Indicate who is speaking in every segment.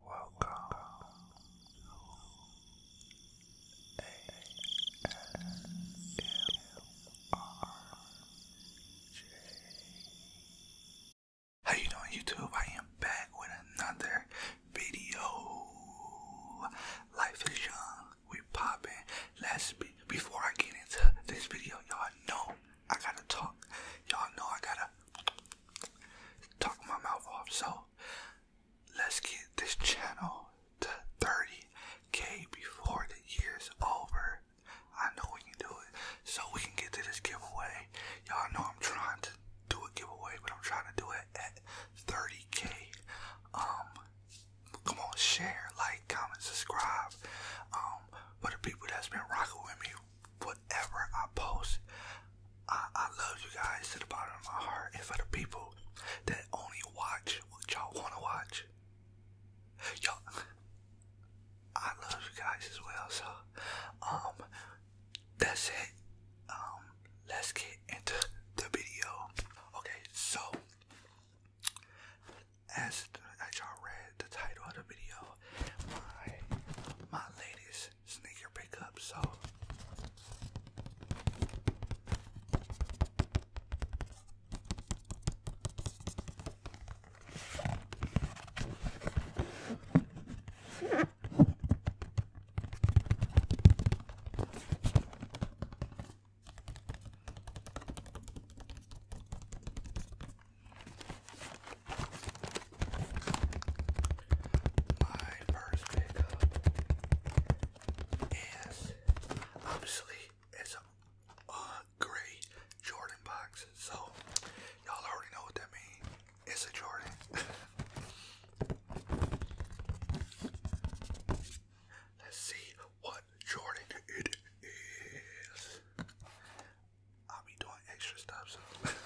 Speaker 1: Welcome to How you doing YouTube? I am back with another video. Life is young. We popping. Let's be before I get into this video, y'all know I gotta talk. Y'all know I gotta talk my mouth off. So let's get this channel to 30k before the year's over. I know we can do it. So we can get to this giveaway. Y'all know I'm trying to do a giveaway, but I'm trying to do it at 30k. Um come on, share, like, comment, subscribe. Um, for the people that's been rocking with me whatever I post. I, love you guys to the bottom of my heart. And for the people that only watch what y'all want to watch, y'all, I love you guys as well. So, um, that's it. Um, let's get into the video. Okay, so as, as y'all read the title of the video, my my latest sneaker pickup, so my first pickup is obviously it's a gray Jordan box, so y'all already know what that means. It's a Jordan. Let's see what Jordan it is. I'll be doing extra stuff so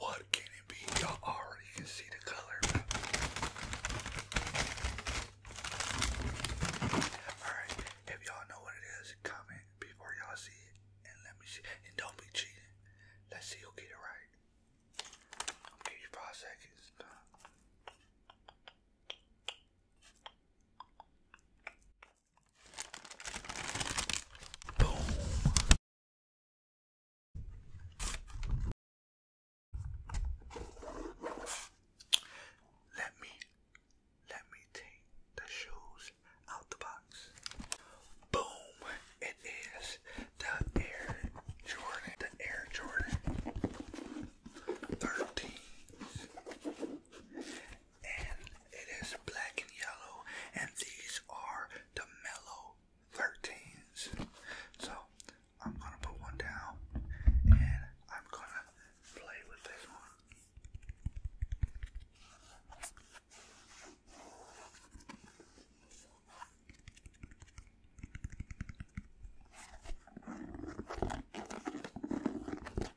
Speaker 1: What can it be? Y'all already can see the color. Alright, if y'all know what it is, comment before y'all see it and let me see. And don't be cheating. Let's see who get it right. I'll give you five seconds. Boom. Let me let me take the shoes out the box. Boom! It is the Air Jordan. The Air Jordan 13s and it is black and yellow, and these are the mellow 13s. So I'm gonna put one down and I'm gonna play with this one.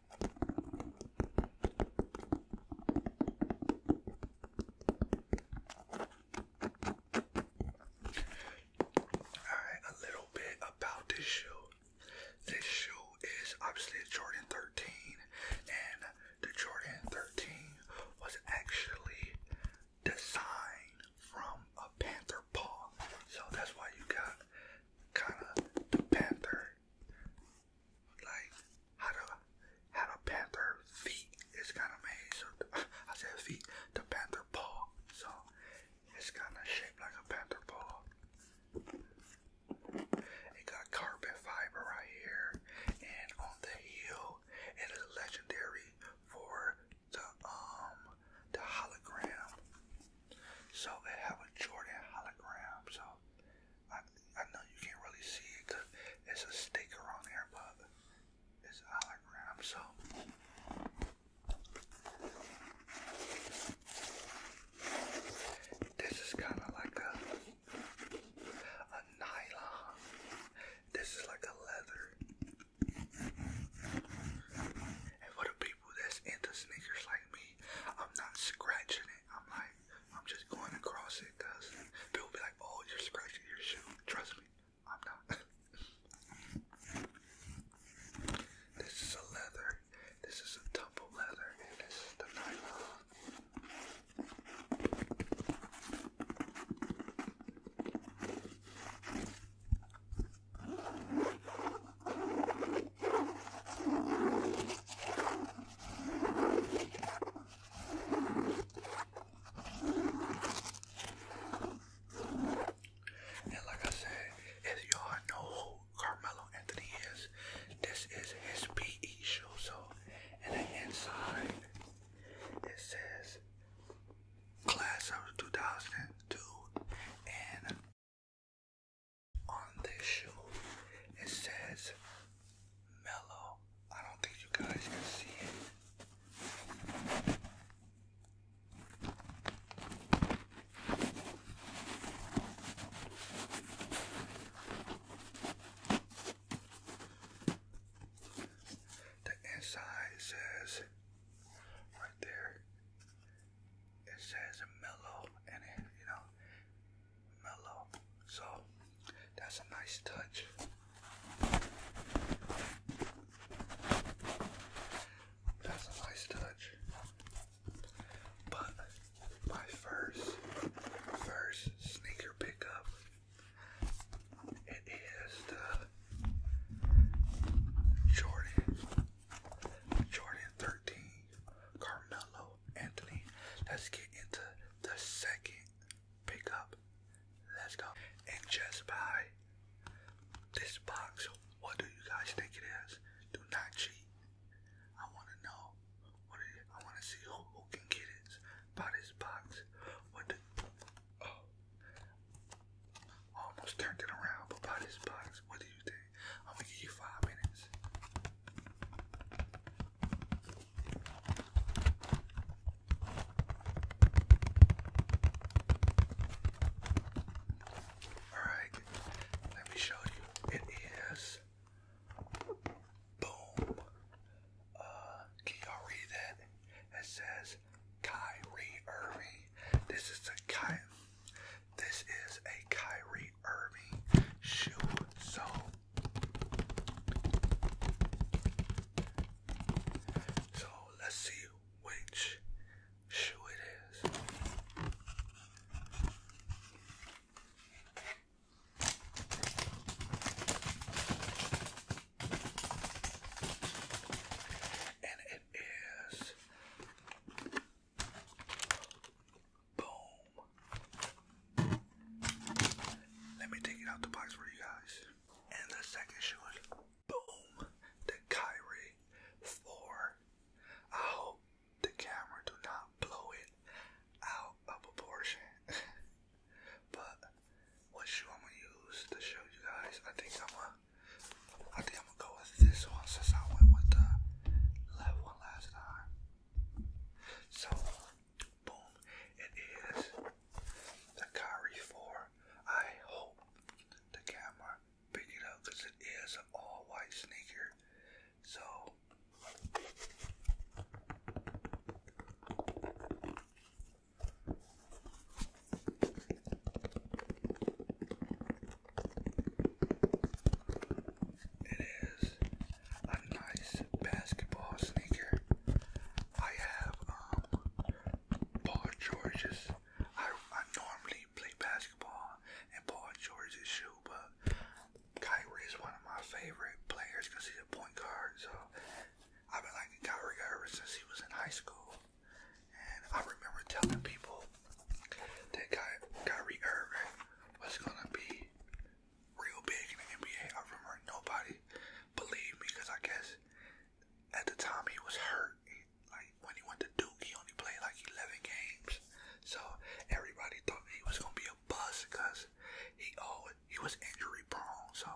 Speaker 1: Alright, a little bit about this shoe. This shoe is obviously a Jordan 13, and the Jordan 13 was actually designed from a panther paw. So that's why you got kind of the panther like how the how the panther feet is kind of made. So I said feet, the panther paw. So it's kind of shaped like a panther paw. It got carpet fiber right here, and on the heel, it is legendary for the um the hologram. So it have a Jordan hologram. So I, I know you can't really see it because it's a sticker on there, but it's a hologram, so. This is kind of like a, a nylon. This is like a leather. And for the people that's into sneakers like me, I'm not scratching it. I'm like, I'm just going across it because people be like, oh, you're scratching your shoe. Trust me, I'm not. this is a leather. This is a tumble leather. And this is the nylon. And like I said, if y'all know who Carmelo Anthony is, this is his PE shoe. So, and the inside, it says class of 2002 and on this shoe. It says mellow. I don't think you guys can see it. The inside says right there it says mellow and it, you know, mellow. So that's a nice touch. That's a nice touch. But my first, first sneaker pickup, it is the Jordan Jordan 13, Carmelo Anthony. Let's get into the second pickup. Let's go. And just by this box, what do you guys think it is? Do not cheat. I want to know. What it is. I want to see who, who can get it by this box. What oh. almost turned it around, but by this box, what do you think? I'm gonna give you five minutes. Alright, let me show you. It is boom. Uh, can It says Kyrie Irving. This is the Ky this is a Kyrie Irving shoe. So so let's see which shoe it is. And it is Boom. Let me take it out the box for you guys. And the second shoe boom, the Kyrie 4. I hope the camera do not blow it out of proportion. but what shoe I'm gonna use to show you guys? I think I'm gonna, go with this one since I went with the left last time. So, boom, it is the Kyrie 4. I hope the camera picked it up because it is an all white sneaker. So, it is a nice basketball sneaker. I have um, Paul George's. I I normally play basketball in Paul George's shoe, but Kyrie is one of my favorite players because he's a point guard. So I've been liking Kyrie ever since he was in high school, and I remember telling people that Ky Kyrie Irving was gonna be real big in the NBA. I remember nobody believed me because I guess at the time he was hurt. like when he went to Duke, he only played like 11 games. So everybody thought he was gonna be a bust because he oh he was injury prone. So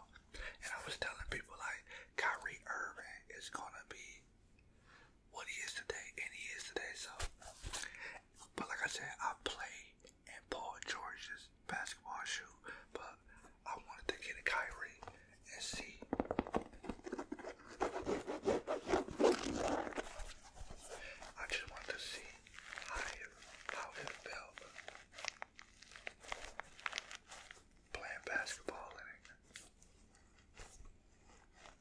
Speaker 1: and I was telling people like Kyrie Irving is gonna be what he is today, and he is today. So, but like I said, I play in Paul George's basketball shoe, but I wanted to get a Kyrie and see. I just want to see how he how felt playing basketball in it.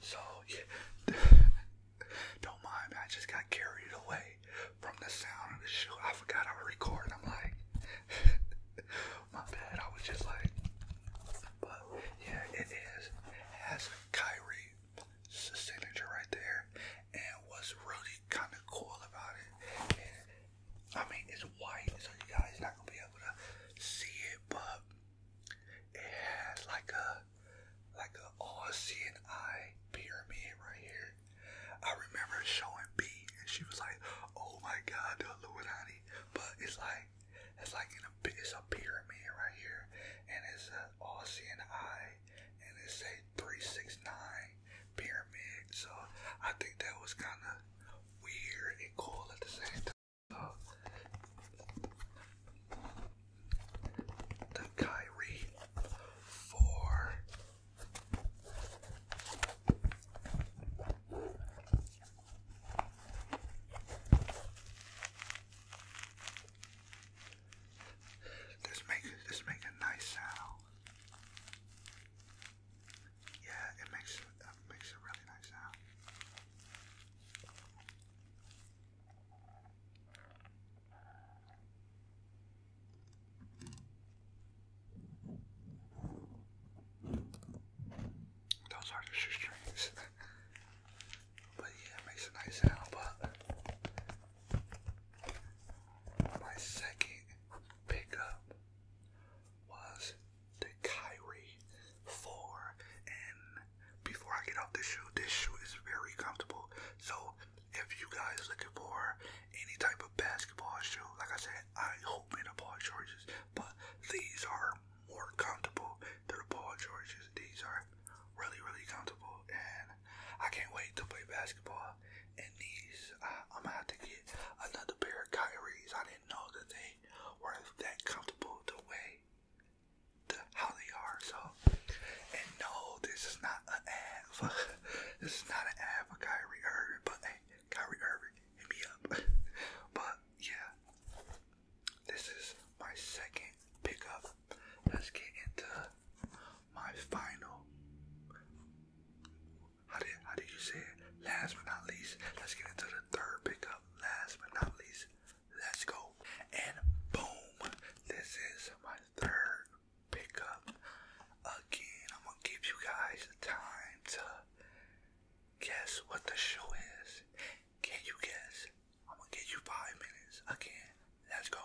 Speaker 1: So yeah, don't mind I just got carried away from the sound of the shoe. I forgot I was recording. I'm like, my bad. I was just like, but yeah, it is. It has Kyrie signature right there, and what's really kind of cool about it I mean, it's white, so you guys not gonna be able to see it, but it has like a like a all eye pyramid right here. I remember showing B, and she was like, "Oh my God, the Illuminati!" But it's like it's like it's a pyramid right here, and it's an all eye, and it's a three six nine pyramid. So I think that was kind of weird and cool at the same time the Kyrie four. This makes this make a nice sound. Yeah, it makes it makes a really nice sound. Those are the shoestrings. but yeah, makes a nice sound. But my second pickup was the Kyrie 4 and before I get off this shoe, this shoe is very comfortable. So if you guys looking for any type of basketball shoe, like I said, I hope the Paul Georges, but these are more comfortable than the Paul Georges. These are really, really comfortable, and I can't wait to play basketball in these. I, am gonna have to get another pair of Kyries. I know that they were that comfortable the way the, how they are. So, and no, this is not an ad. For, this is not an ad for Kyrie Irving, but hey, Kyrie Irving, hit me up. but yeah, this is my second pickup. Let's get into my final how did how do you say it? Last but not least, let's get into the third pickup. Last but not least, let's go. And boom, this is my third pickup. Again, I'm gonna give you guys the time to guess what the show is. Can you guess? I'm gonna give you five minutes. Again, let's go.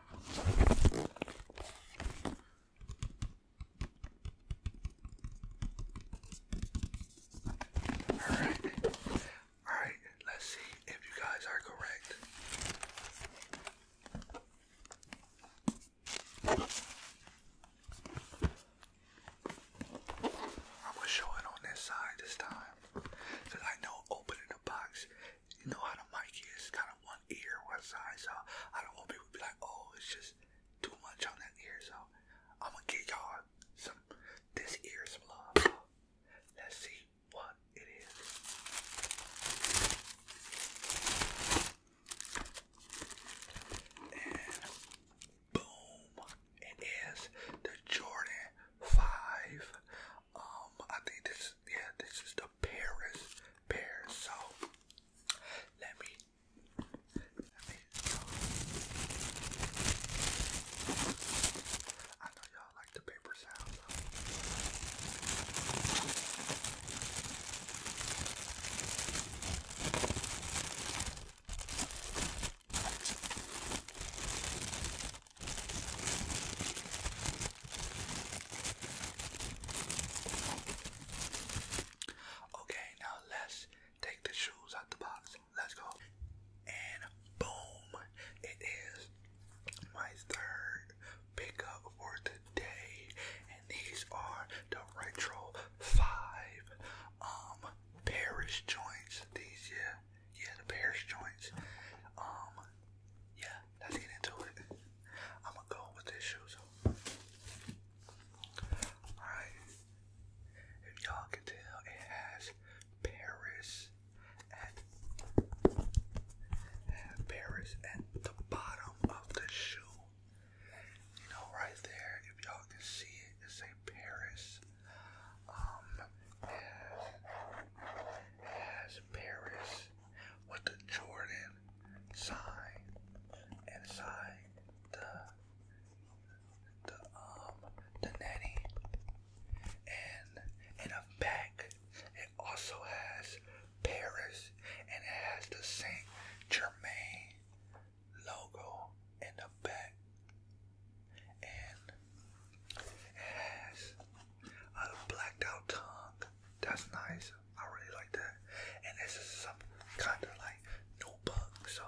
Speaker 1: Alright. Alright, let's see if you guys are correct. I'm going on this side this time. I know opening the box you know how the mic is, kind of one ear, one side. So I don't want people to be like, oh, it's just too much on that ear. So I'm gonna give y'all some this ear some let's see what it is. And boom, it is the Jordan 5 um, I think this, yeah, this is the Paris pear. So let me, uh, I know y'all like the paper sound. Okay, now let's take the shoes out the box. Let's go. And boom, it is my third pickup for today. And these are the Retro 5 um Paris joints. These yeah, yeah, the Paris joints. Um yeah, Let's get into it. I'm gonna go with this shoes. Alright. If y'all can tell, it has Paris at Paris at the bottom of the shoe. You know, right there, if y'all can see it, it's a Paris. Um, has Paris with the Jordan sign inside the the um the netty and in the back it also has Paris and it has the Saint Germain logo in the back and it has a blacked out tongue. That's nice. I really like that. And this is some kind of like notebook, so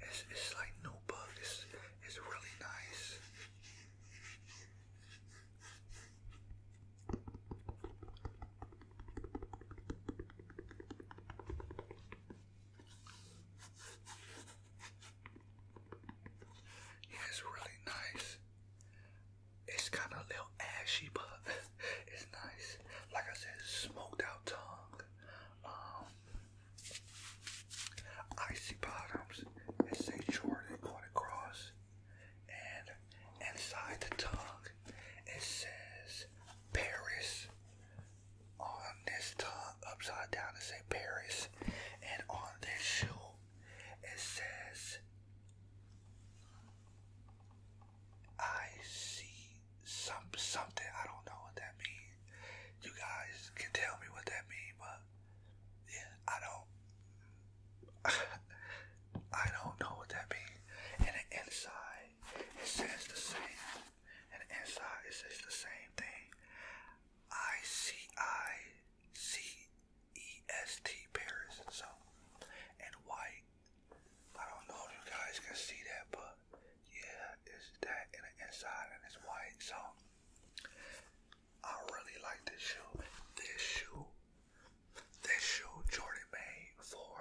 Speaker 1: it's it's like notebook. It's it's really nice it's really nice. It's kind of a little ashy, but it's nice. Like I said, smoked out tongue, um, icy bottoms. It says Jordan going across, and inside the tongue, it says Paris on this tongue upside down it says Paris and on this shoe it says I see some something I don't know what that means. You guys can tell me what that means, but yeah, I don't I don't know what that means. And the inside it says the same. And the inside it says the same thing. I C I C E S T Paris. So, and white. I don't know if you guys can see that, but yeah, it's that in the inside and it's white. So, I really like this shoe. This shoe, this shoe Jordan made for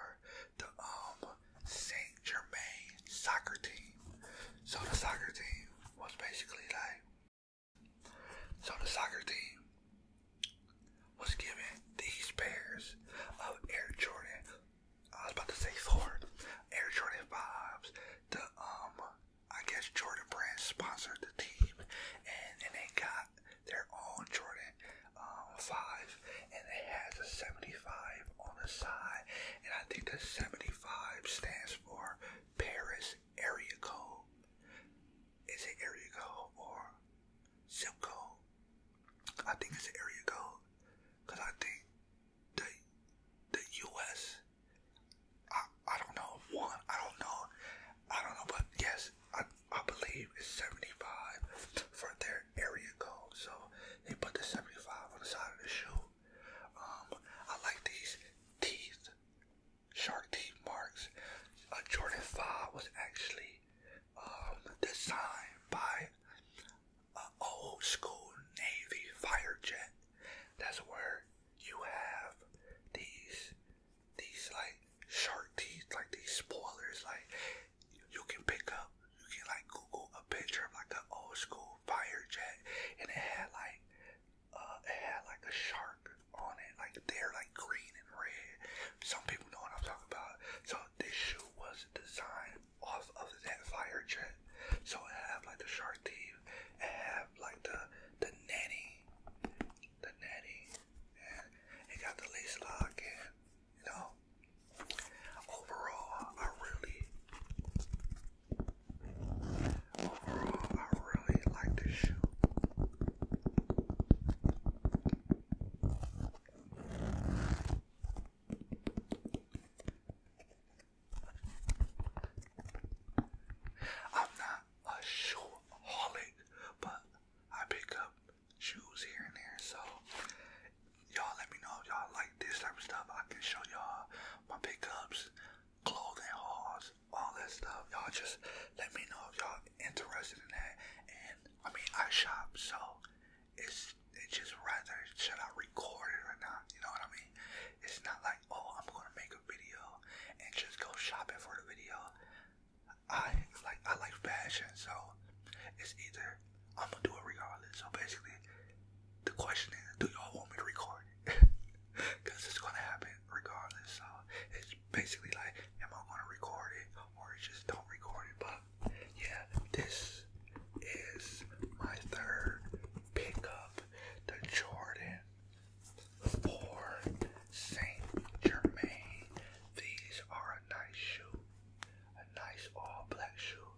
Speaker 1: the um St. Saint soccer team. So the soccer team was basically like, so the soccer team was given these pairs of Air Jordan. I was about to say four Air Jordan fives. The um, I guess Jordan brand sponsored the team, and and they got their own Jordan um five, and it has a seventy five on the side. And I think the 75 stands for Paris Area Code. Is it area code or zip code? I think it's area code. Because I think the, the U.S., I, I don't know, one, I don't know. I don't know, but yes, I, I believe it's 75 for their area code. So they put the 75 on the side of the shoe. Um, I like these teeth, shark teeth marks. A uh, Jordan 5 was actually um, designed by an uh, old school Navy fire jet. That's where you have these, these like shark teeth, like these spoilers. Like you can pick up, you can like Google a picture of like an old school fire jet, and it had like uh, it had like a shark on it, like they're like green and red. Some people know what I'm talking about. So this shoe was designed off of that fire jet. So it had like the shark teeth, it had like the the natty, the netting, and it got the lace lock and you know. Overall, I really Overall, I really like this shoe. I'm not a shoe holic, but I pick up shoes here and there, so y'all let me know if y'all like this type of stuff. I can show y'all my pickups, clothing hauls, all that stuff. Y'all just let me know if y'all interested in that. And I mean, I shop, so it's it's just rather should I record it or not? You know what I mean? It's not like oh, I'm gonna make a video and just go shopping for the video. I like I like fashion, so it's either I'm gonna do it regardless. So basically, the question is, do y'all want me to record it? Because it's gonna happen regardless. So it's basically like, am I gonna record it or just don't record it? But yeah, this is my third pickup, the Jordan for Saint Germain. These are a nice shoe, a nice all black shoe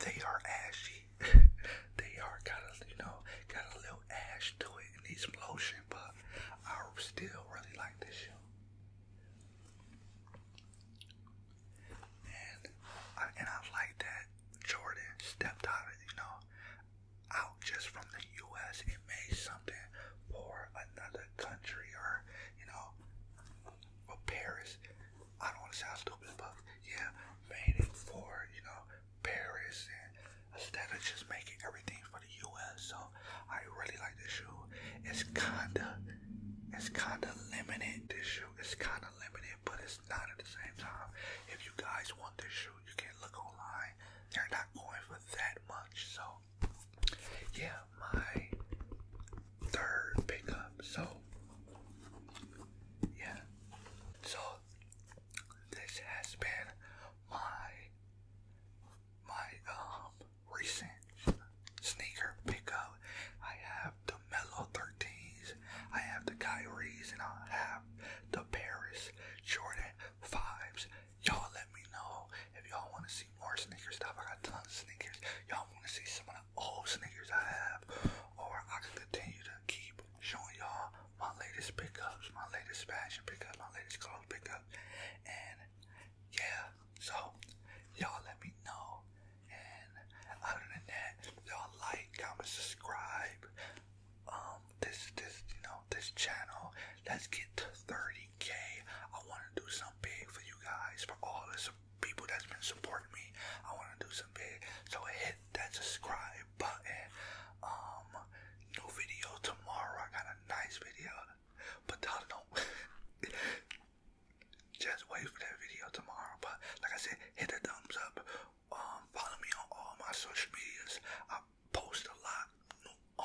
Speaker 1: they are ashy. they are got a you know got a little ash to it and needs some lotion, but I still really like this shoe. And I, and I like that Jordan stepped out you know out just from the U.S. It may something for another country or you know for Paris. I don't want to sound stupid, but yeah, made it for, you know, Paris instead of just making everything for the US. So I really like this shoe. It's kinda it's kinda limited. This shoe is kinda limited, but it's not at the same time. If you guys want this shoe, you can look online. They're not going for that much, so yeah, my third pickup. So, yeah. So, this has been my my um recent sneaker pickup. I have the Mellow 13s, I have the Kyries, and I have the Paris Jordan 5s. Y'all let me know if y'all want to see more sneaker stuff. I got tons of sneakers. Y'all want to see some of old sneakers I have, or I can continue to keep showing y'all my latest pickups, my latest fashion pickups, my latest clothes pickups, and yeah, so y'all let me know. And other than that, y'all like, comment, subscribe. Um, this this you know this channel. Let's get to 30k. I want to do something big for you guys for all the people that's been supporting me. I want to do some big, so hit that subscribe button. Um, new video tomorrow. I got a nice video, but y'all do Just wait for that video tomorrow. But like I said, hit the thumbs up. Um, follow me on all my social medias. I post a lot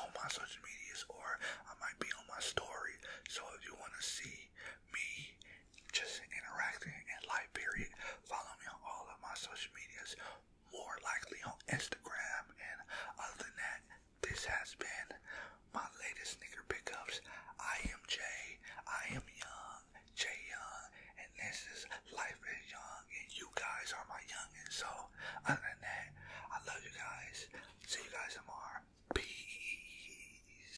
Speaker 1: on my social medias, or I might be on my story. So if you want to see me just interacting in live period. Follow me on all of my social medias, more likely on Instagram. And other than that, this has been my latest sneaker pickups. I am Jay. I am young. Jay Young. And this is Life is Young. And you guys are my youngins. So other than that, I love you guys. See you guys tomorrow. Peace.